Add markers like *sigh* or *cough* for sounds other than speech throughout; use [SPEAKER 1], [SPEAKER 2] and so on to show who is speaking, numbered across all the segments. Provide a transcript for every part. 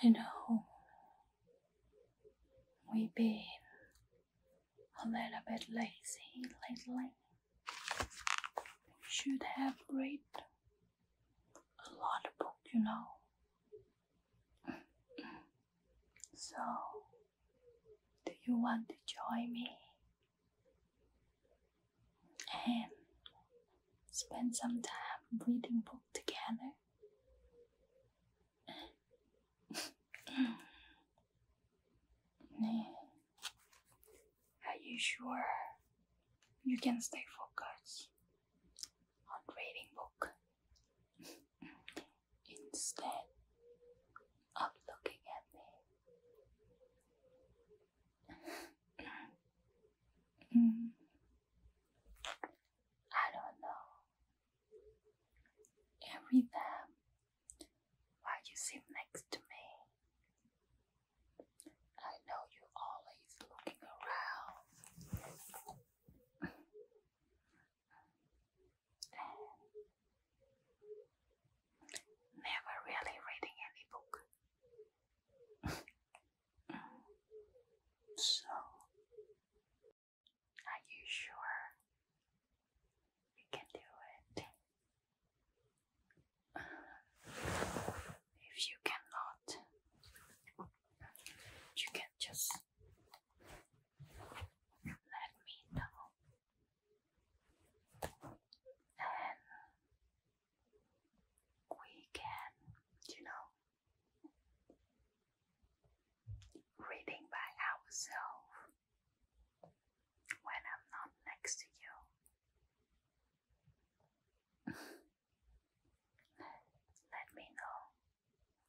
[SPEAKER 1] I know we We've been a little bit lazy lately. We should have read a lot of books, you know. So, do you want to join me and spend some time reading book together. *laughs* Are you sure you can stay focused on reading book? instead of looking at me. I don't know. Every time while you sit next to me, I know you're always looking around never really reading any book. *laughs* so, are you sure you can do it? If you cannot, you can just let me know. And we can, you know, reading by ourselves when I'm not next to you. *laughs* Let me know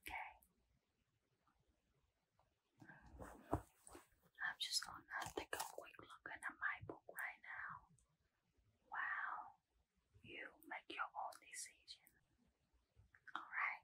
[SPEAKER 1] Okay. I'm just gonna take a quick look at my book right now. Wow. You make your own decision. Alright.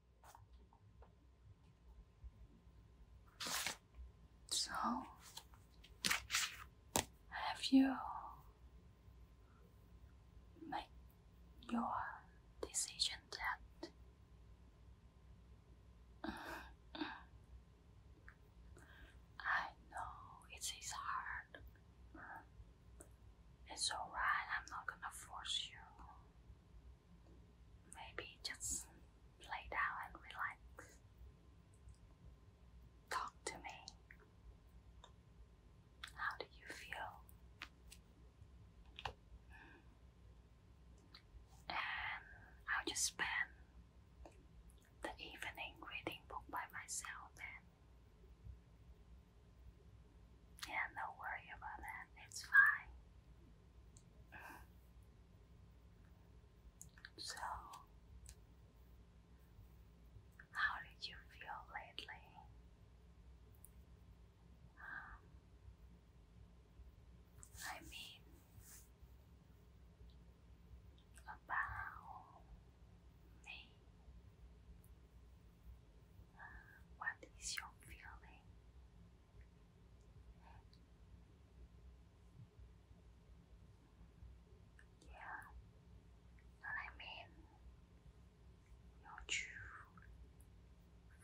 [SPEAKER 1] So, have you made your decision yet? Mm -hmm. I know it is hard. It's alright, I'm not gonna force you maybe just lay down and relax. Talk to me. How do you feel? And I'll just spend the evening reading book by myself then. Yeah, don't worry about that. It's fine. So, how did you feel lately? Um, I mean, about me. What is your feeling? Yeah, and I mean your true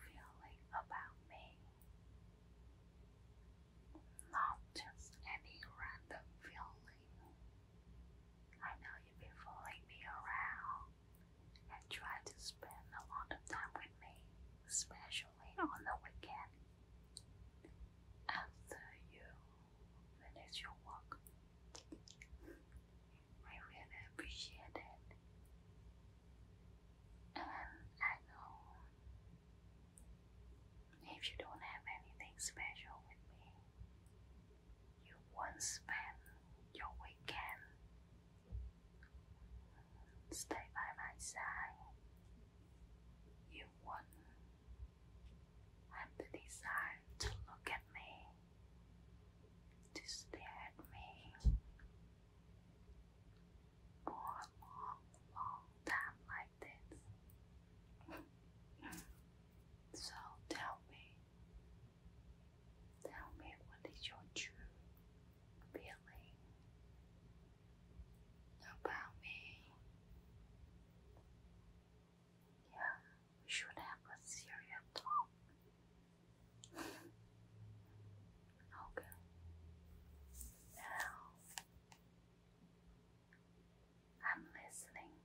[SPEAKER 1] feeling about me, not just any random feeling. I know you've been following me around and try to spend a lot of time with me, especially on the weekend. After you finish your work, I really appreciate it. And I know if you don't have anything special with me, you won't spend your weekend. Stay by my side. You won't have the desire to look at me, to stare at me for a long, long time like this. *laughs* so tell me, Tell me what is your true feeling about me. Yeah, we should have a serious talk. *laughs* okay. Now I'm listening